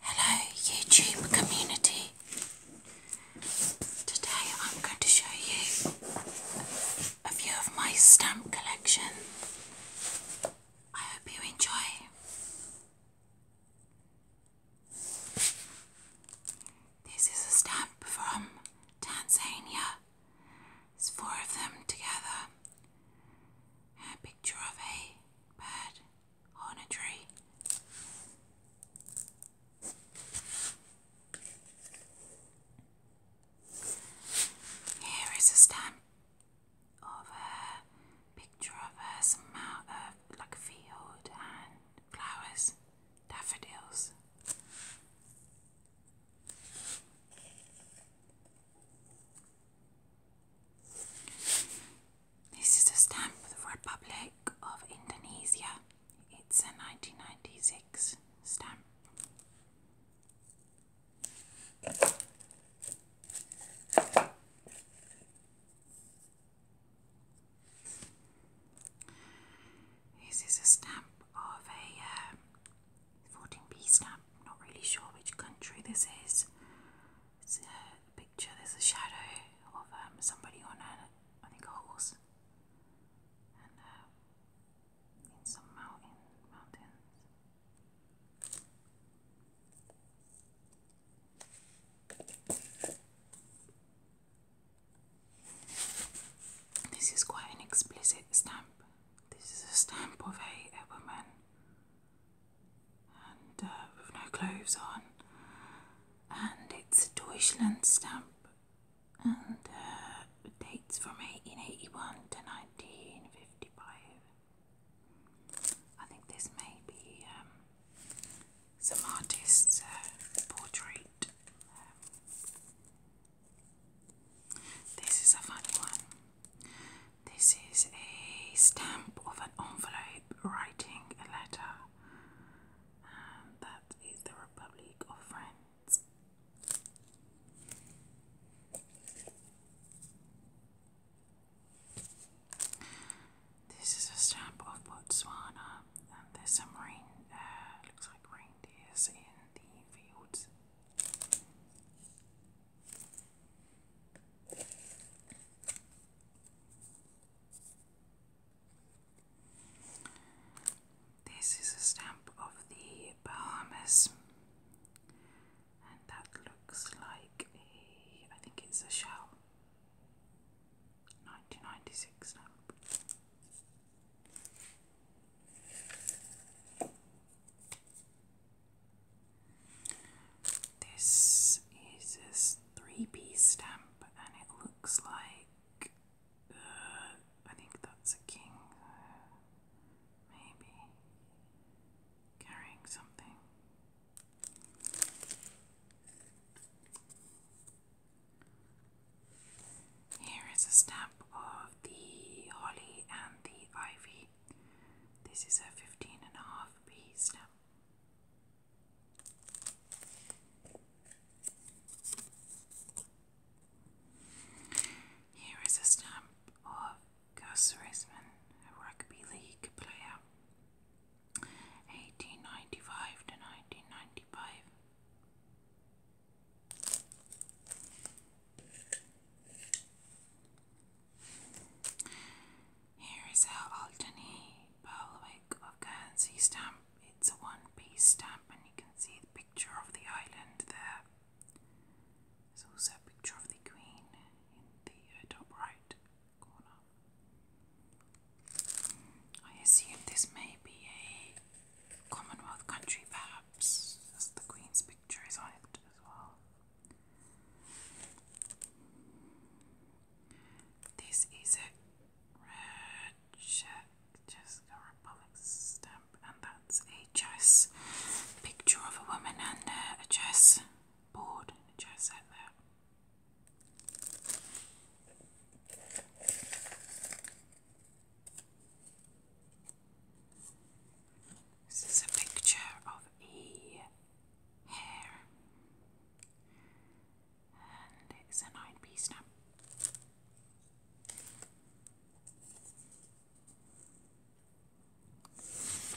Hello YouTube community. Today I'm going to show you a few of my stamp collection. I hope you enjoy. This is a stamp from Tanzania. It's four of them together. A picture of a bird on a tree. Here is a stamp of a picture of a uh, some amount like field and flowers, daffodils. This is a stamp of the Republic of Indonesia. It's a 1996 stamp. This is a stamp of a uh, 14 B stamp. Not really sure which country this is. It's a picture. There's a shadow of um, somebody on a, I think a horse, and uh, in some mountain mountains. This is quite an explicit stamp. This is a stamp of a, a woman and uh, with no clothes on, and it's a Deutschland stamp, and it uh, dates from 1881 to 1955. I think this may be um, some artist's uh, portrait. Um, this is a funny one. This is a stamp of an envelope writing a letter. And um, that is the Republic of France. This is a stamp of Botswana, and there's some rain, uh, looks like reindeers in the fields. This is a stamp of the Bahamas, and that looks like a, I think it's a shell. 1996 stamp. This is a three-piece stamp, and it looks like uh, I think that's a king, maybe carrying something. Here is a stamp of the holly and the ivy. This is a 15 and a half B stamp. Here is a stamp of Gus Risman, a rugby league player, 1895 to 1995. Here is our Alderney Berwick of Guernsey stamp. It's a one piece stamp, and you can see the picture of the island there. There's also a picture of the Queen in the uh, top right corner. I assume this may be a Commonwealth country, perhaps, as the Queen's pictures on it as well. This is a red check, just a republic stamp, and that's a chess picture of a woman and a chess board, a chess set there. This is a picture of a hair, and it's a nine piece now.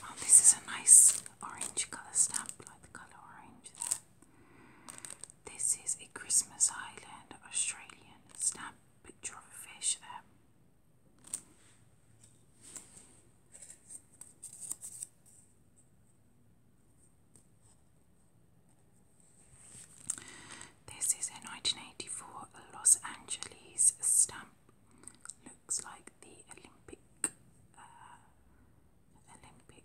Oh, this is a nice orange colour stamp, like the colour orange there. This is a Christmas Island Australian stamp picture of a fish there. This is a 1984 Los Angeles stamp. Looks like the Olympic uh, Olympic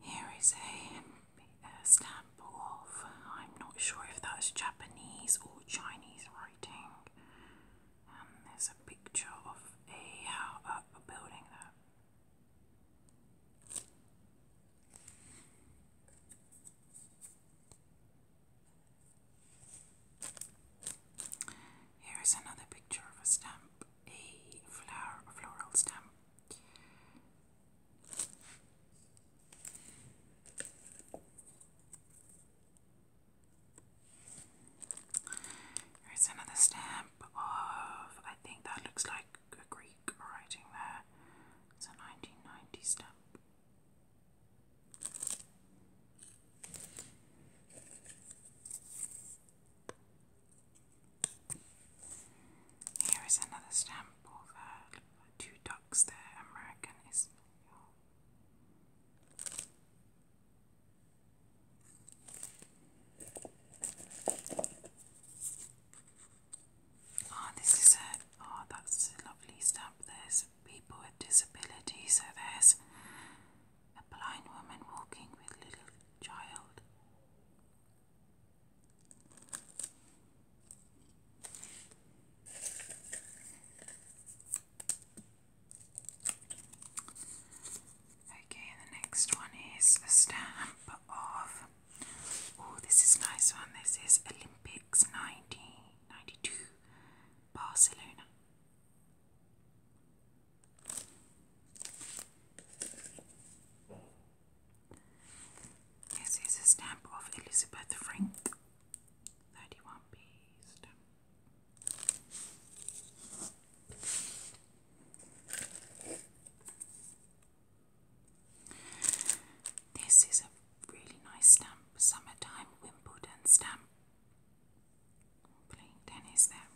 here is a, stamp of, I'm not sure if that's Japanese or Chinese writing. And there's a picture of a, uh, a building there. Here is another picture of a stamp, a flower, a floral stamp. Here's another stamp of, I think that looks like a Greek writing there. It's a 1990 stamp. Here is another stamp of uh, two ducks there, American is ah, this is a oh, that's a lovely stamp. There's people with disabilities, so there's a blind woman walking with little child. Okay, the next one is a stamp of. Oh, this is nice one. This is Olympics 1992 Barcelona. This is a stamp of Elizabeth Frank. 31p This is a really nice stamp, summertime Wimbledon stamp playing tennis there.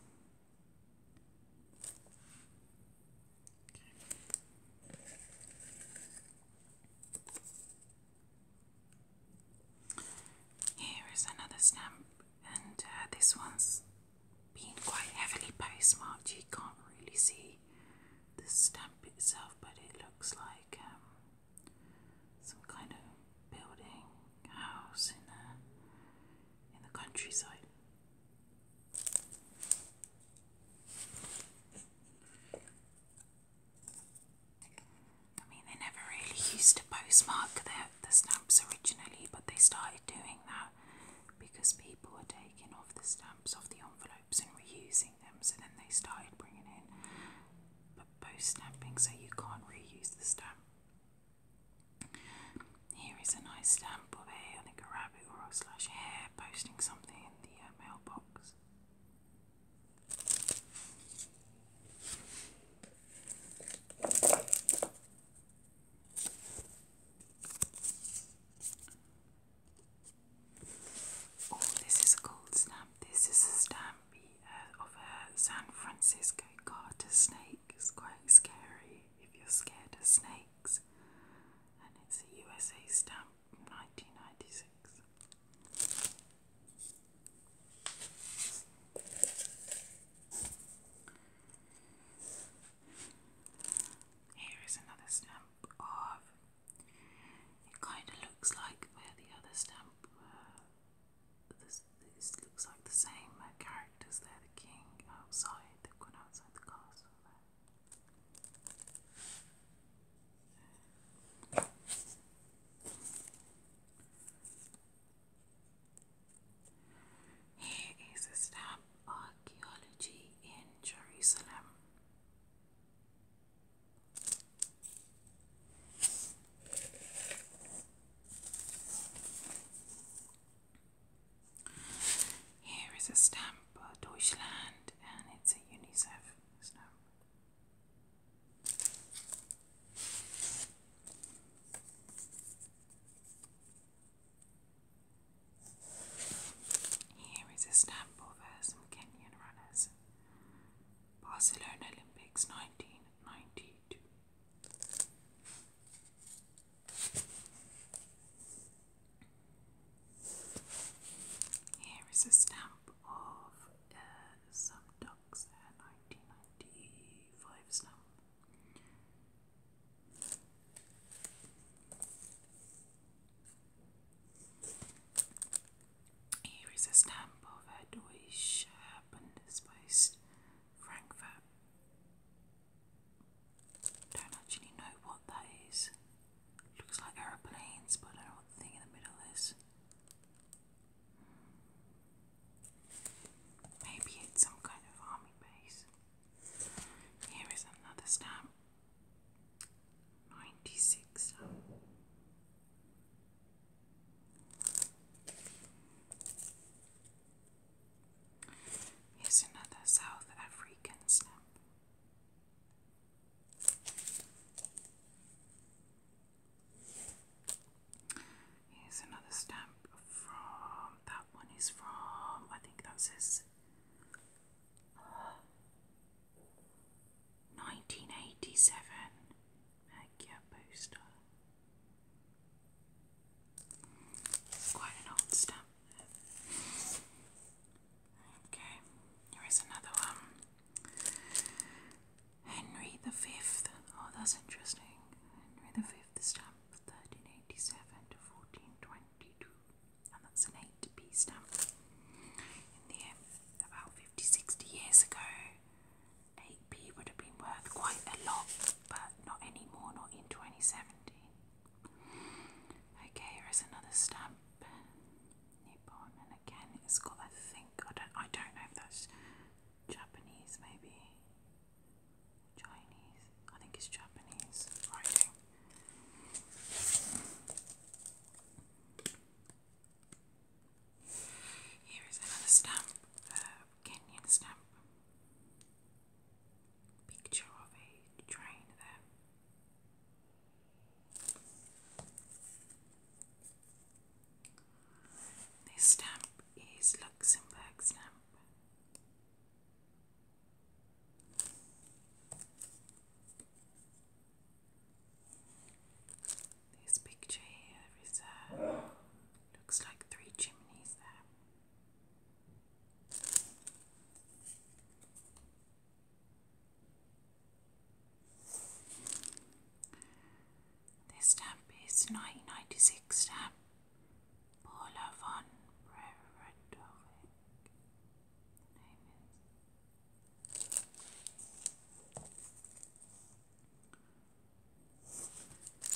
Here is another stamp, and uh, this one's quite heavily postmarked. You can't really see the stamp itself, but it looks like um, some kind of building house in the in the countryside. I mean, they never really used to postmark their the stamps originally, but they started doing that because people were taking off the stamps off the envelopes and reusing them. So then they started bringing in post stamping, so you can't reuse the stamp. Here is a nice stamp of a, I think a rabbit or a slash hare posting something in the uh, mailbox. Oh, this is a gold stamp. This is a stamp uh, of a San Francisco garter snake is quite scary if you're scared of snakes, and it's a USA stamp from 1996. Here is another stamp of. It kind of looks like where the other stamp uh, this, this looks like the same uh, characters there, the king outside, they've gone outside the castle Here is a stamp archaeology in Jerusalem. Here is a stamp, of Deutschland, and it's a UNICEF stamp. Here is a stamp of uh, some Kenyan runners. Barcelona Olympics 19 92. Here is a stamp of uh, some ducks, a uh, 1995 stamp. Here is a stamp of a Deutsche Bundespost Frankfurt. Don't actually know what that is. Looks like aeroplanes, but I don't know what the thing in the middle is. Maybe it's some kind of army base. Here is another stamp. 96 Here's another South African snap. Here's another stamp from that one is from I think that says 1987 Agia poster. Quite an old stamp. Okay, here is another one. Henry the Fifth. Oh, that's interesting. Henry the Fifth stamp, 1387 to 1422, and that's an 8p stamp. In the about 50, years ago, 8p would have been worth quite a lot, but not anymore, not in 2017. Okay, here is another stamp. Nippon, and again, it's got, I think, I don't, I don't know if that's Japanese, maybe Chinese. I think it's Japanese writing. Here is another stamp, a Kenyan stamp. Picture of a train there. This stamp is Luxembourg stamp. This picture here is a uh, looks like three chimneys there. This stamp is 1996 stamp. Paula von Bredovic. The name is.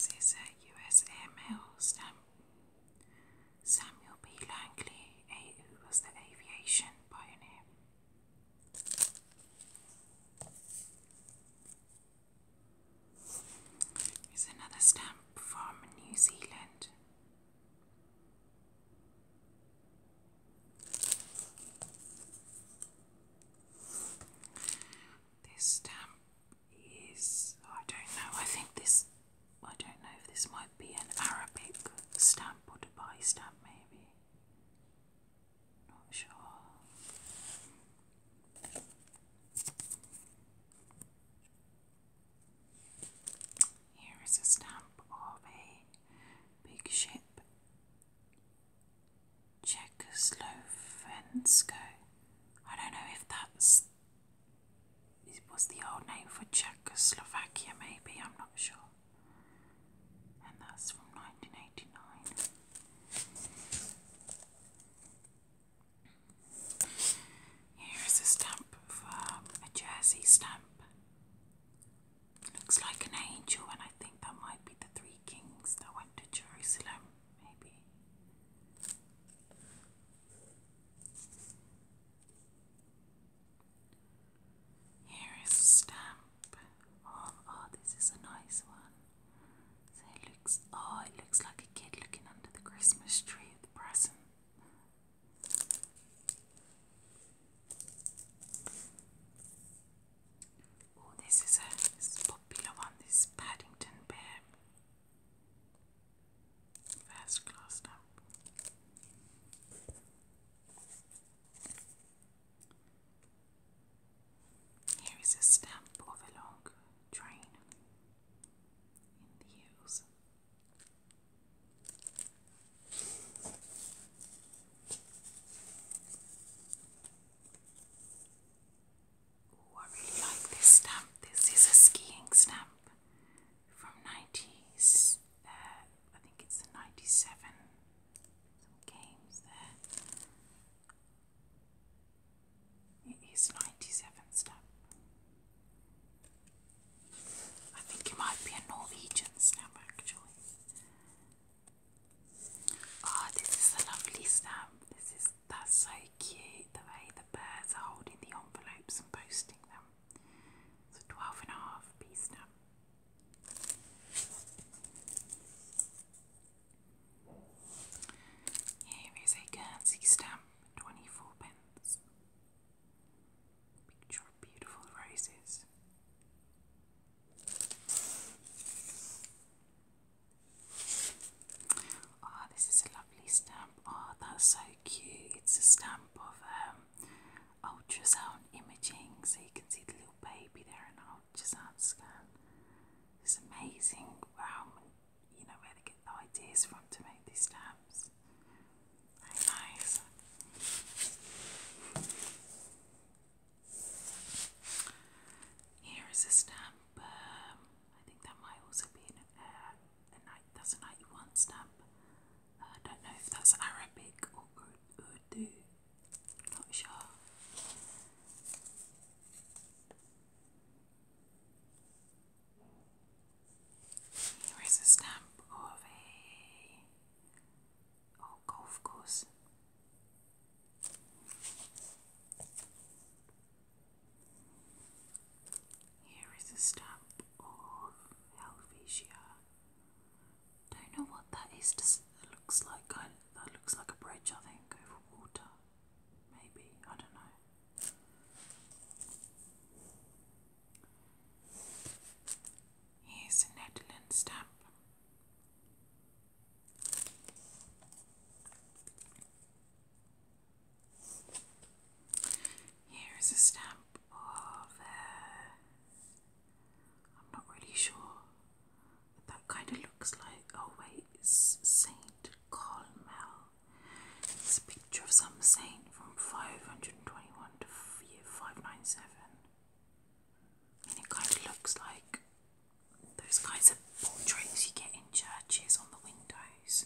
There's a U.S. airmail stamp. Samuel B. Langley, who was the aviation pioneer. Here's another stamp from New Zealand. This stamp is, I don't know, I think this, I don't know if this might be an Arabic stamp or a by stamp maybe. Not sure. Here is a stamp of a big ship Czechoslovensko. I don't know if that's it was the old name for Czechoslovakia, maybe, I'm not sure. And that's from 1989. Here is a stamp for um, a jersey stamp. Looks like an angel, and I think that might be the three kings that went to Jerusalem, maybe. Here is a stamp. Oh, oh, this is a nice one. So it looks, oh, it looks like a kid looking under the Christmas tree at the present. Oh, this is a this popular one. This Paddington Bear. First class up. Here is a stamp of a long train in the hills. Oh, I really like this stamp. This is a skiing stamp from 90s. Uh, I think it's the 97. Some games there. It is 97 stamp. I think it might be a Norwegian stamp actually. Oh, this is a lovely stamp. This is that's so cute the way the birds are holding the envelopes and posting them. It's a 12 piece stamp. Here is a Guernsey stamp, 24 pence. Picture beautiful roses. Oh, ah, this is a lovely stamp. Oh, that's so cute. It's a stamp of um, ultrasound imaging, so you can see the little baby there in ultrasound scan. It's amazing. Wow, you know where they get the ideas from to make these stamps. Very Here is a stamp. I think that might also be an, uh, a night. That's a ninety-one stamp. Uh, I don't know if that's Arabic or Urdu. Not sure. Here is a stamp of a Oh, golf course. Here is a stamp of Helvetia. Don't know what that is. looks like I, that looks like a bridge? I think over water. Maybe I don't know. Here's a Netherlands stamp. Here is a stamp of. Uh, I'm not really sure what that kind of looks like. Oh, wait, it's Saint Colmel. It's a picture of some saint from 521 to 597. And it kind of looks like those kinds of portraits you get in churches on the windows.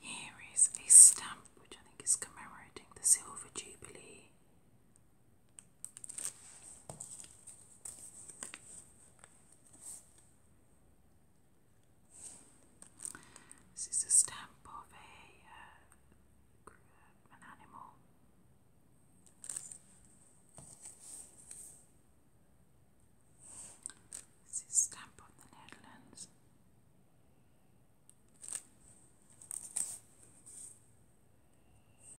Here is a stamp which I think is commemorating the Silver Jubilee this is a stamp of a uh, an animal. This is stamp of the Netherlands.